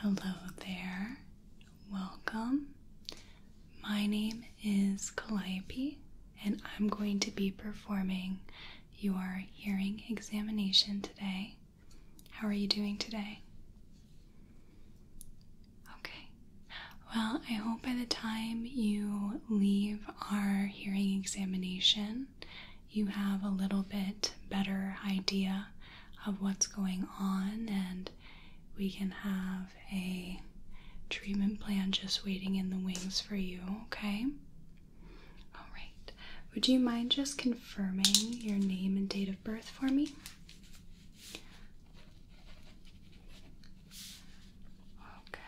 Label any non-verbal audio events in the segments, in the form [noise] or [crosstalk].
Hello there, welcome. My name is Calliope, and I'm going to be performing your hearing examination today. How are you doing today? Okay. Well, I hope by the time you leave our hearing examination, you have a little bit better idea of what's going on, and we can have a treatment plan just waiting in the wings for you, okay? All right. Would you mind just confirming your name and date of birth for me? Okay,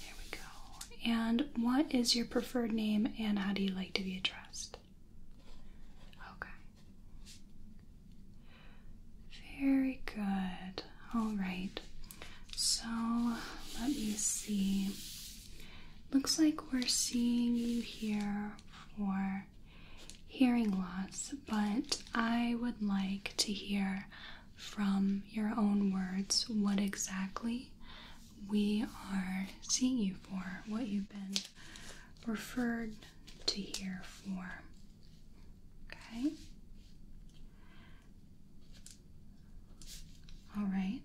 there we go. And what is your preferred name and how do you like to be addressed? Okay, very good. All right, so let me see. Looks like we're seeing you here for hearing loss, but I would like to hear from your own words what exactly we are seeing you for, what you've been referred to here for. Okay? All right.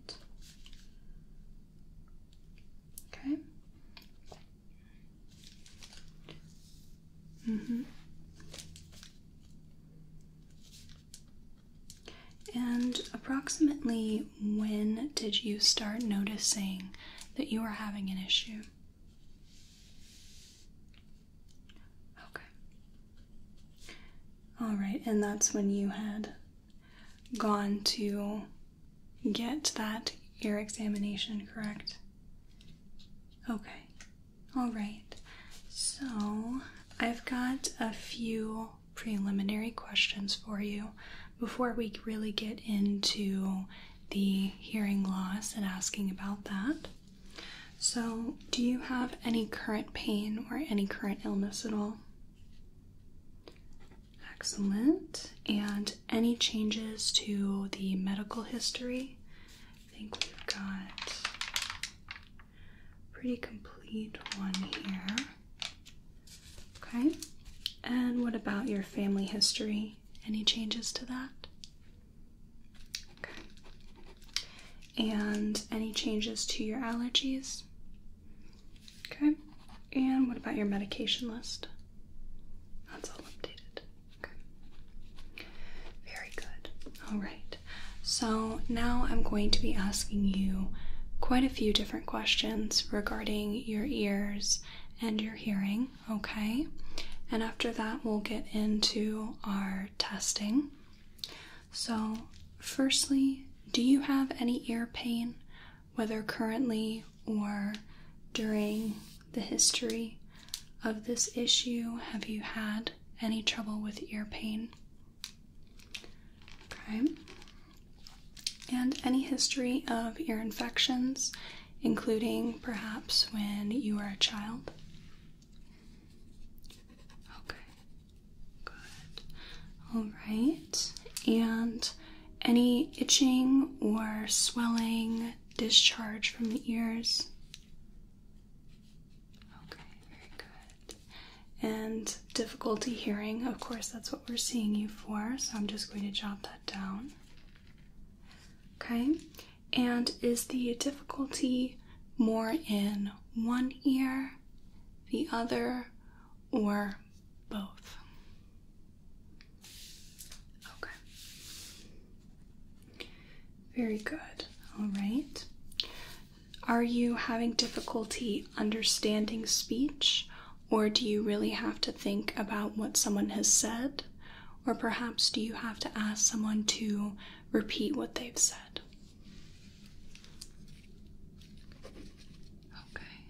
Okay. Mm -hmm. And approximately when did you start noticing that you were having an issue? Okay. All right, and that's when you had gone to get that ear examination correct? Okay, all right. So I've got a few preliminary questions for you before we really get into the hearing loss and asking about that. So, do you have any current pain or any current illness at all? Excellent. And any changes to the medical history. I think we've got pretty complete one here. Okay. And what about your family history? Any changes to that? Okay. And any changes to your allergies? Okay. And what about your medication list? That's all updated. Very good. All right. So now I'm going to be asking you quite a few different questions regarding your ears and your hearing, okay? And after that, we'll get into our testing. So, firstly, do you have any ear pain, whether currently or during the history of this issue? Have you had any trouble with ear pain? Okay. And any history of ear infections, including perhaps when you were a child? Okay. Good. All right. And any itching or swelling discharge from the ears. Okay, very good. And difficulty hearing, of course, that's what we're seeing you for, so I'm just going to jot that down. Okay, and is the difficulty more in one ear, the other, or both? Okay. Very good. All right. Are you having difficulty understanding speech, or do you really have to think about what someone has said? Or perhaps do you have to ask someone to repeat what they've said? Okay.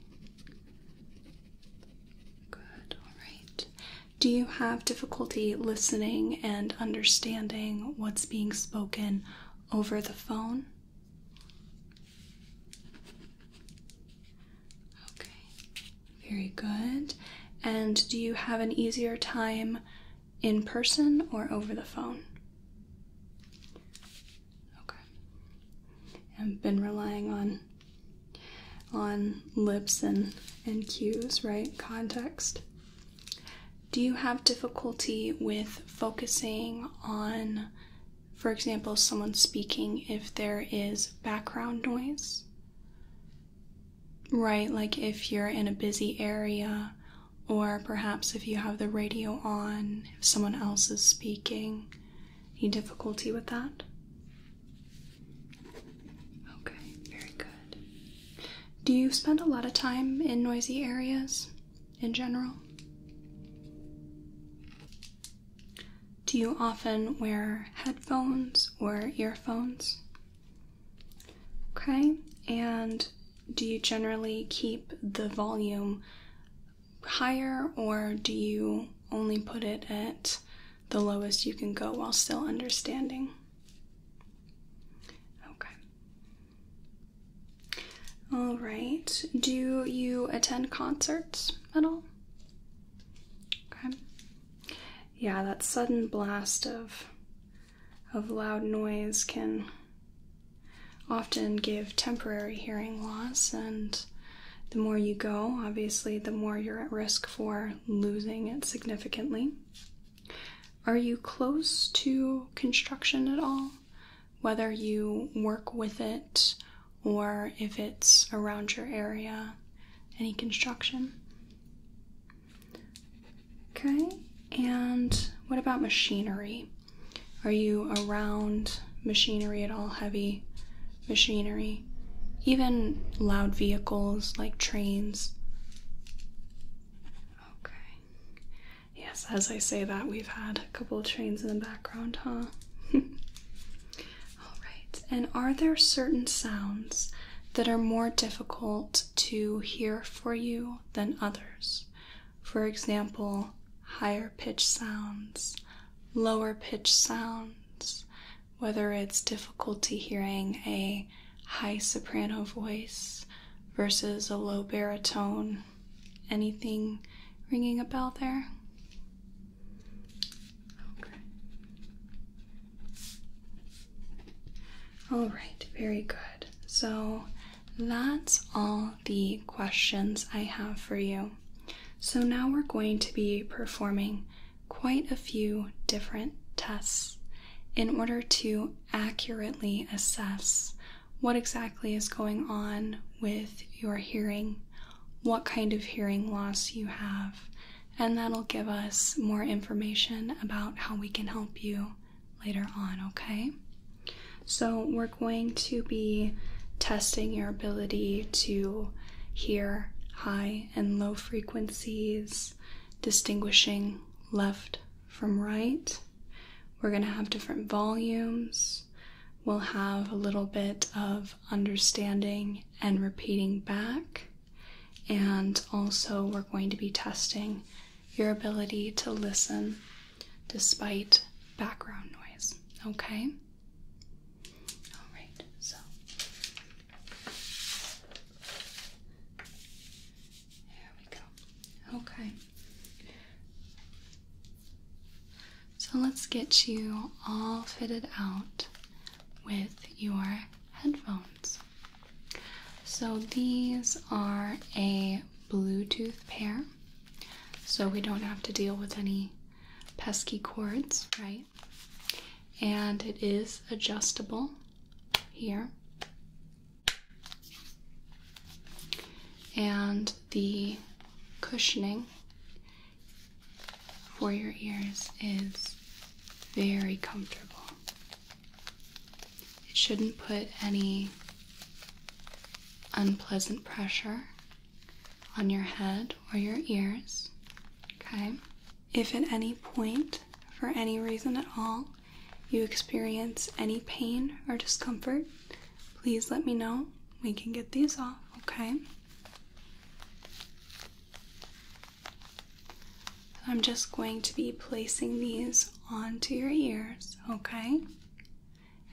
Good, all right. Do you have difficulty listening and understanding what's being spoken over the phone? Okay, very good. And do you have an easier time in person or over the phone? Okay. I've been relying on on lips and and cues, right? Context. Do you have difficulty with focusing on, for example, someone speaking if there is background noise? Right, like if you're in a busy area, or perhaps if you have the radio on, if someone else is speaking. Any difficulty with that? Okay, very good. Do you spend a lot of time in noisy areas in general? Do you often wear headphones or earphones? Okay, and do you generally keep the volume higher or do you only put it at the lowest you can go while still understanding. Okay. All right. Do you attend concerts at all? Okay. Yeah, that sudden blast of of loud noise can often give temporary hearing loss and the more you go, obviously, the more you're at risk for losing it significantly. Are you close to construction at all? Whether you work with it or if it's around your area, any construction? Okay, and what about machinery? Are you around machinery at all? Heavy machinery, even loud vehicles like trains. Okay. Yes, as I say that, we've had a couple trains in the background, huh? [laughs] All right. And are there certain sounds that are more difficult to hear for you than others? For example, higher pitch sounds, lower pitch sounds, whether it's difficulty hearing a high soprano voice versus a low baritone. Anything ringing a bell there? Okay. All right, very good. So that's all the questions I have for you. So now we're going to be performing quite a few different tests in order to accurately assess what exactly is going on with your hearing, what kind of hearing loss you have, and that'll give us more information about how we can help you later on, okay? So, we're going to be testing your ability to here, high and low frequencies, distinguishing left from right. We're going to have different volumes. We'll have a little bit of understanding and repeating back. And also, we're going to be testing your ability to listen despite background noise. Okay? Alright, so there we go. Okay. So let's get you all fitted out with your headphones. So these are a Bluetooth pair, so we don't have to deal with any pesky cords, right? and it is adjustable here. And the cushioning for your ears is very comfortable. It shouldn't put any unpleasant pressure on your head or your ears. Okay? If at any point, for any reason at all, you experience any pain or discomfort, please let me know. We can get these off, okay? I'm just going to be placing these onto your ears, okay?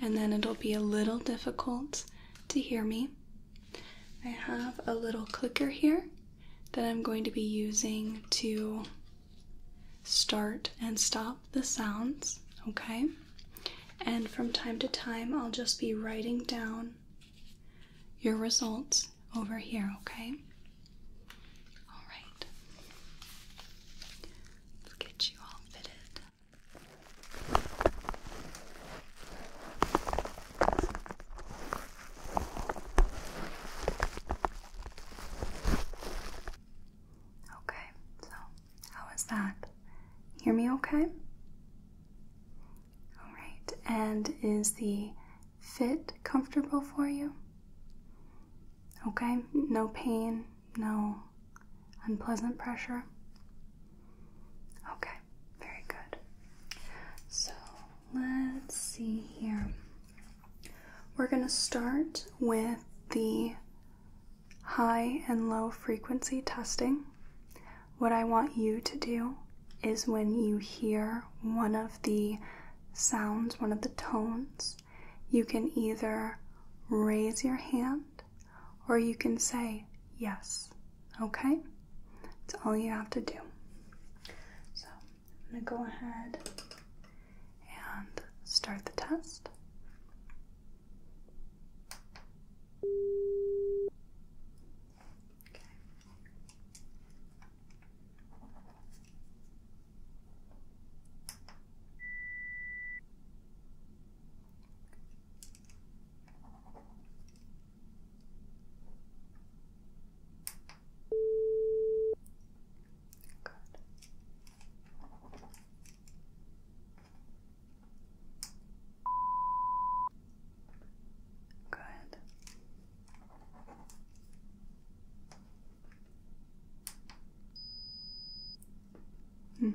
And then it'll be a little difficult to hear me, I have a little clicker here that I'm going to be using to start and stop the sounds, okay? And from time to time, I'll just be writing down your results over here, okay? All right. Let's get you all fitted. Okay, so how is that? Hear me okay? Alright, and is the fit comfortable for you? Okay, no pain, no unpleasant pressure? Okay, very good. So let's see here. We're going to start with the high and low frequency testing. What I want you to do is when you hear one of the sounds, one of the tones, you can either raise your hand or you can say yes Okay? That's all you have to do. So I'm going to go ahead and start the test. Okay. Good. Good. Mm.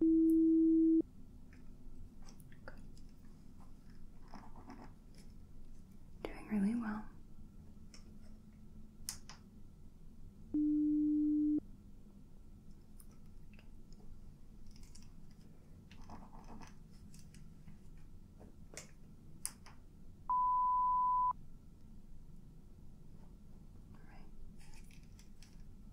Doing really well. All right.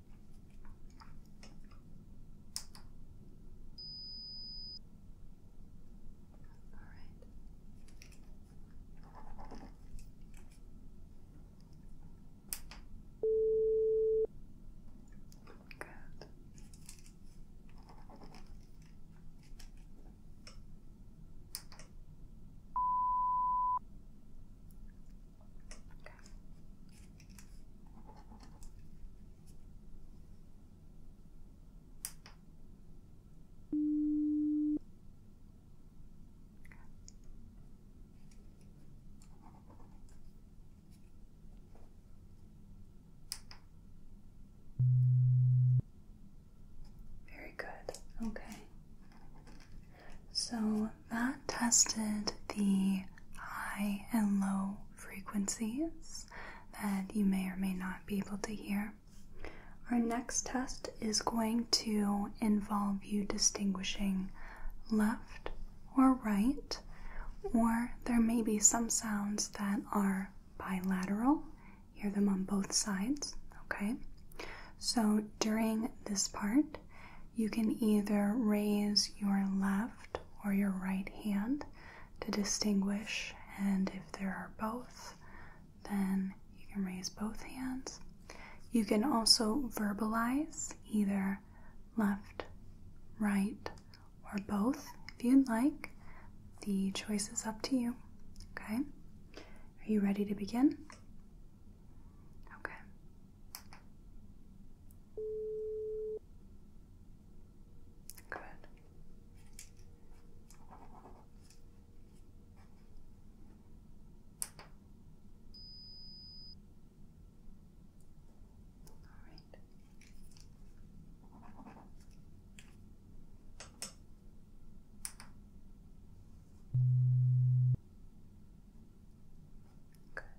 right. Good. Okay. Very good. Okay. So that tested the high and low frequencies that you may or may not be able to hear. Our next test is going to involve you distinguishing left or right, or there may be some sounds that are bilateral. Hear them on both sides, okay? So during this part, you can either raise your left or your right hand to distinguish. And if there are both, then you can raise both hands. You can also verbalize either left, right, or both if you'd like. The choice is up to you. Okay? Are you ready to begin? Okay. Good. All right. Good.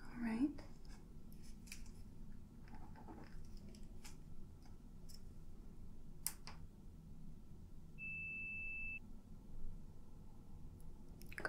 All right. Good.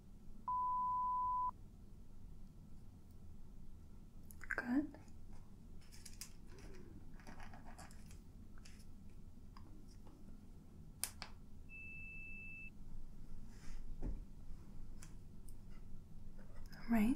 Good. All right.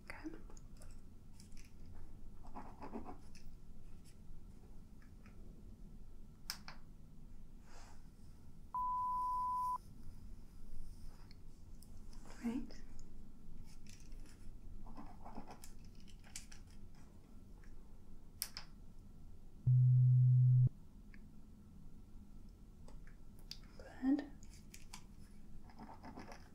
Okay. Right. Good.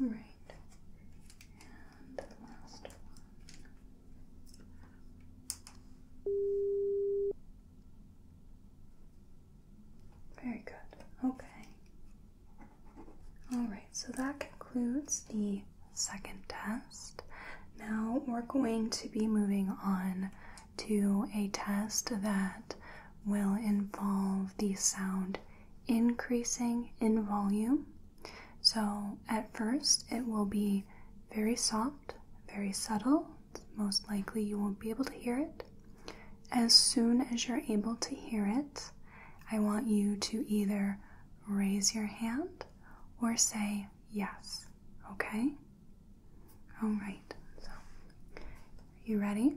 All right. And last one. Very good. Okay. All right, so that concludes the second test. Now we're going to be moving on to a test that will involve the sound increasing in volume. So at first, it will be very soft, very subtle. Most likely, you won't be able to hear it. As soon as you're able to hear it, I want you to either raise your hand or say yes, okay? All right, so you ready?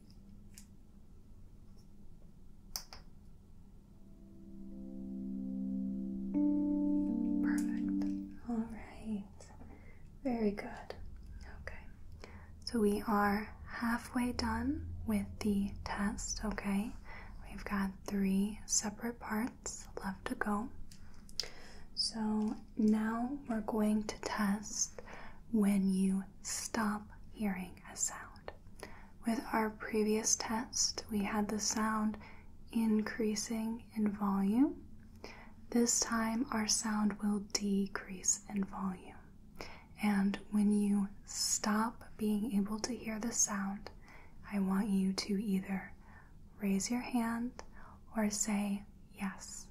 Perfect. All right. Very good. Okay. So we are halfway done with the test, okay? We've got three separate parts left to go. So now we're going to test when you stop hearing a sound. With our previous test, we had the sound increasing in volume. This time, our sound will decrease in volume. And when you stop being able to hear the sound, I want you to either raise your hand or say yes.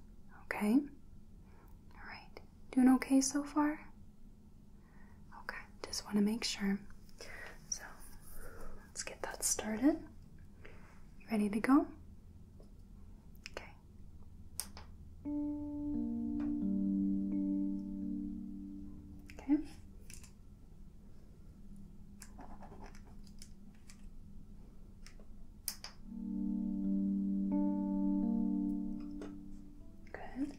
Okay? All right. Doing okay so far? Okay, just want to make sure. So let's get that started. ready to go? Okay. Okay. Good.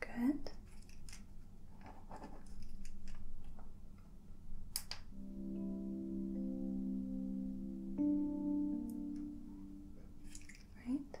Good. Right.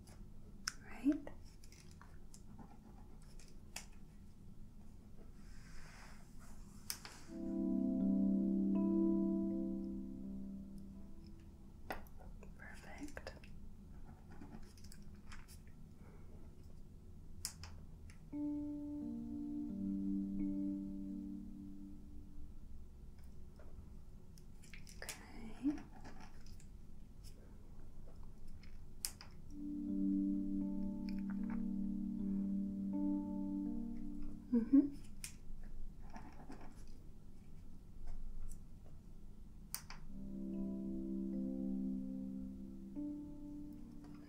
right? Perfect. Okay. Mm-hmm.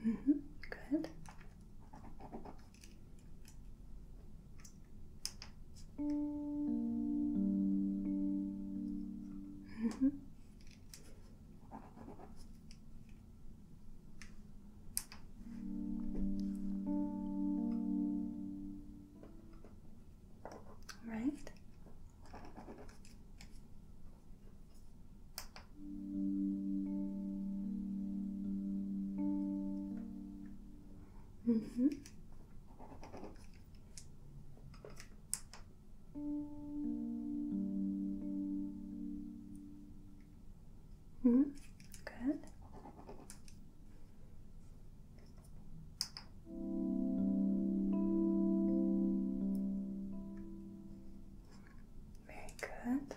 Mm-hmm. Good. Mm -hmm. Right. Mm-hmm. Mm hmm, good. Very good.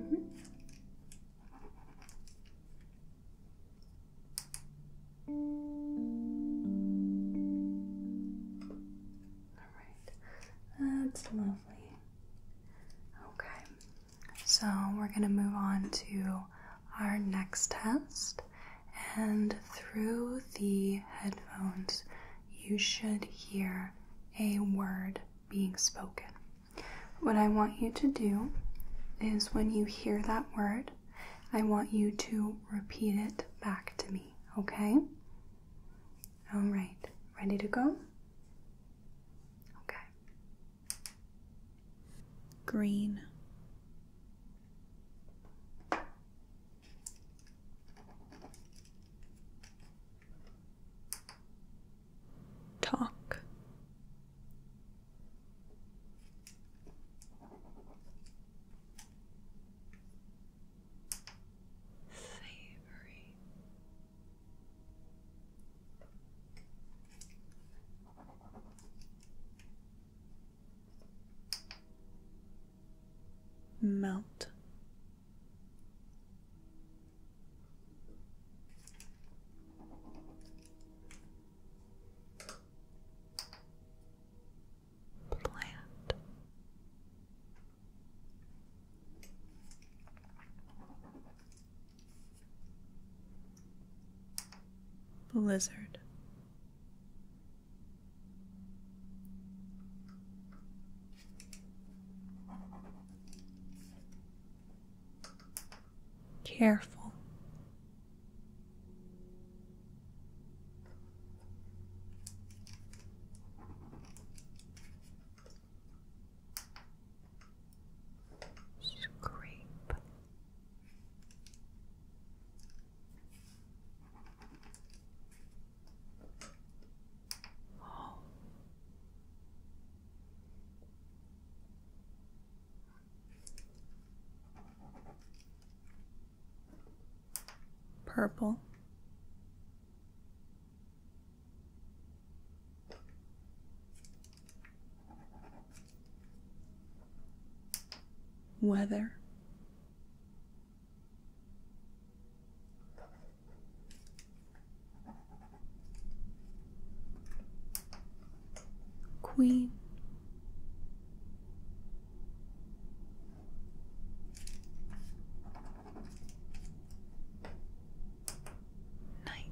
Mm-hmm. All right, that's lovely. Okay, so we're going to move on to our next test, and through the headphones, you should hear a word being spoken. What I want you to do is when you hear that word, I want you to repeat it back to me, okay? All right, ready to go? Okay. Green. Talk. Savory. Melt Plant. Blizzard Careful. Scrape. Purple. Weather Queen. Night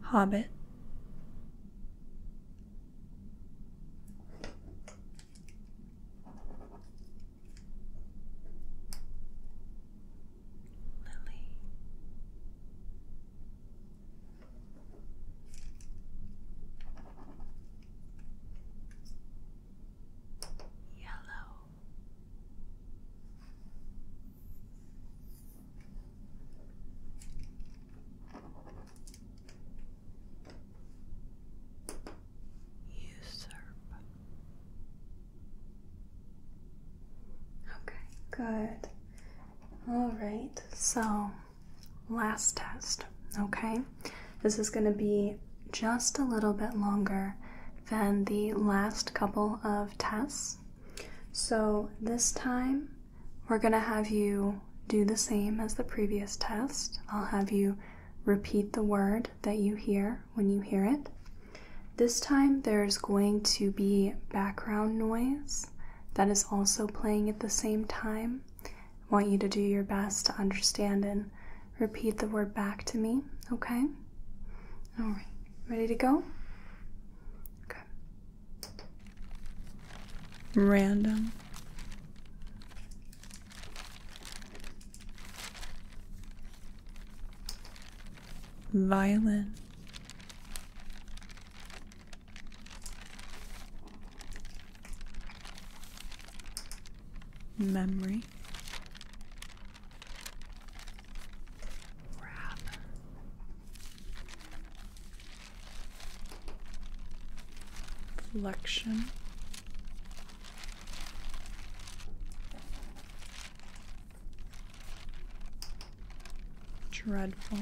Hobbit. Lily. Yellow Usurp. Okay, good. All right, so last test, okay? This is going to be just a little bit longer than the last couple of tests. So this time we're going to have you do the same as the previous test. I'll have you repeat the word that you hear when you hear it. This time there's going to be background noise that is also playing at the same time. I want you to do your best to understand and repeat the word back to me, okay? All right, ready to go? Okay. Random. Violin. Memory wrap. Flexion. Dreadful.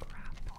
Grapple.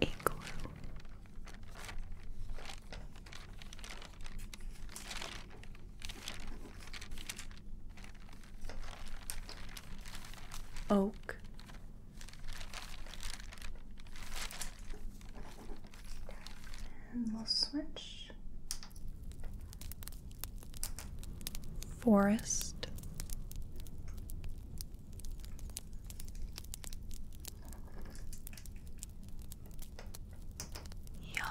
Igloo. Oak. And we'll switch forest. Yeah.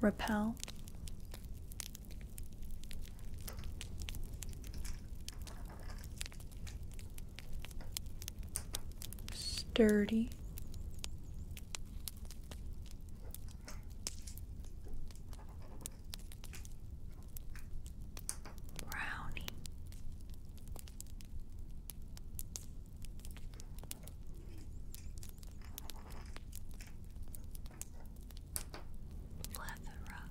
Repel sturdy, brownie. Plethora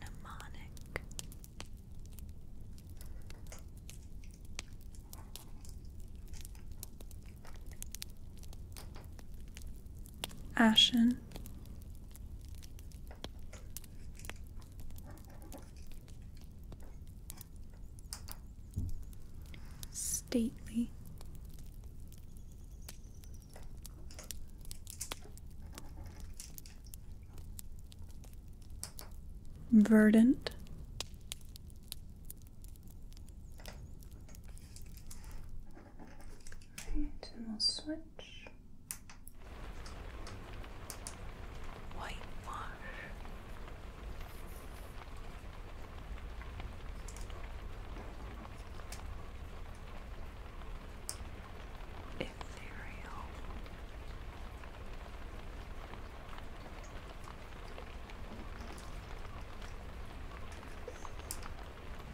mnemonic ashen stately. Verdant, right, and we'll switch whitewash, Ethereal.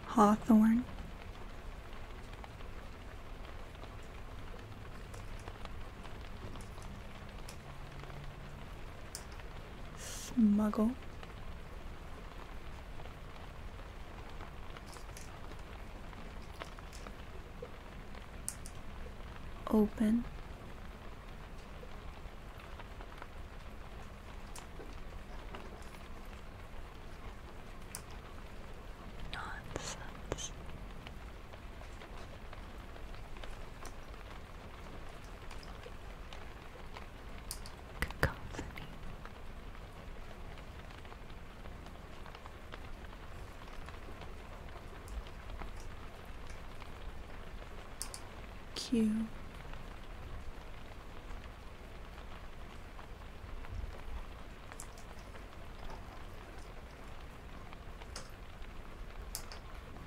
Hawthorn. Smuggle. Open. Nonsense. Cacophony. Q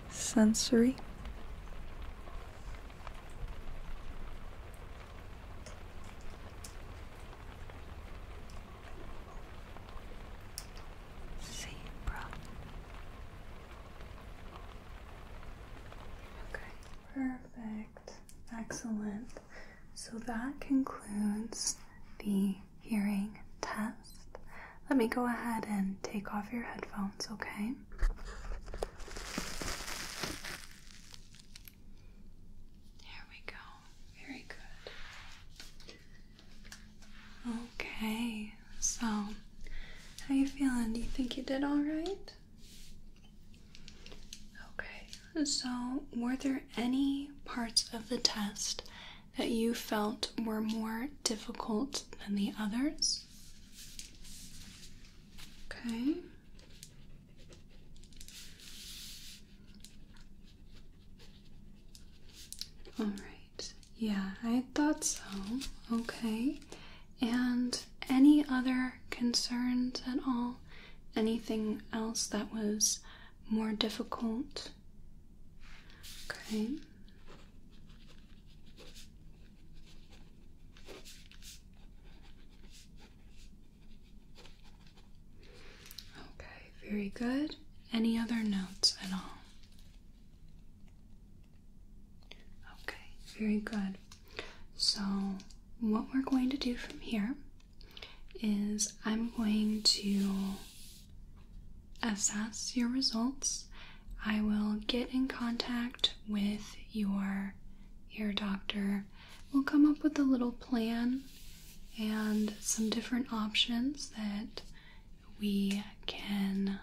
sensory. Zebra. Okay, perfect. Excellent. So that concludes the hearing test. Let me go ahead and take off your headphones, okay? There we go. Very good. Okay, so how you feeling? Do you think you did all right? Okay, so were there any parts of the test that you felt were more difficult than the others? Okay. All right. Yeah, I thought so. Okay. And any other concerns at all? Anything else that was more difficult? Okay. Okay, very good. Any other notes at all? Okay, very good. So, what we're going to do from here is I'm going to assess your results, I will get in contact with your ear doctor. We'll come up with a little plan and some different options that we can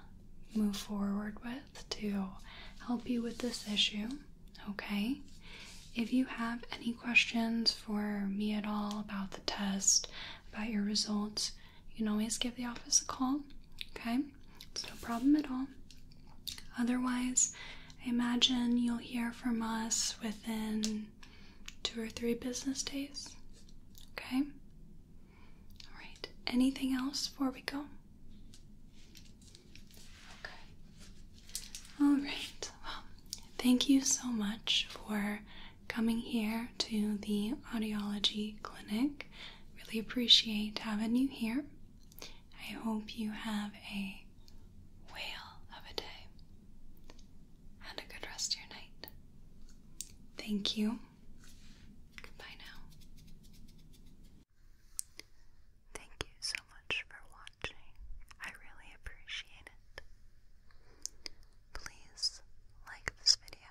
move forward with to help you with this issue. Okay? If you have any questions for me at all about the test, about your results, you can always give the office a call, okay? It's no problem at all. Otherwise, I imagine you'll hear from us within two or three business days, okay? All right, anything else before we go? Okay. All right, well, thank you so much for coming here to the audiology clinic. Really appreciate having you here. I hope you have a whale of a day and a good rest of your night. Thank you. Goodbye now. Thank you so much for watching. I really appreciate it. Please like this video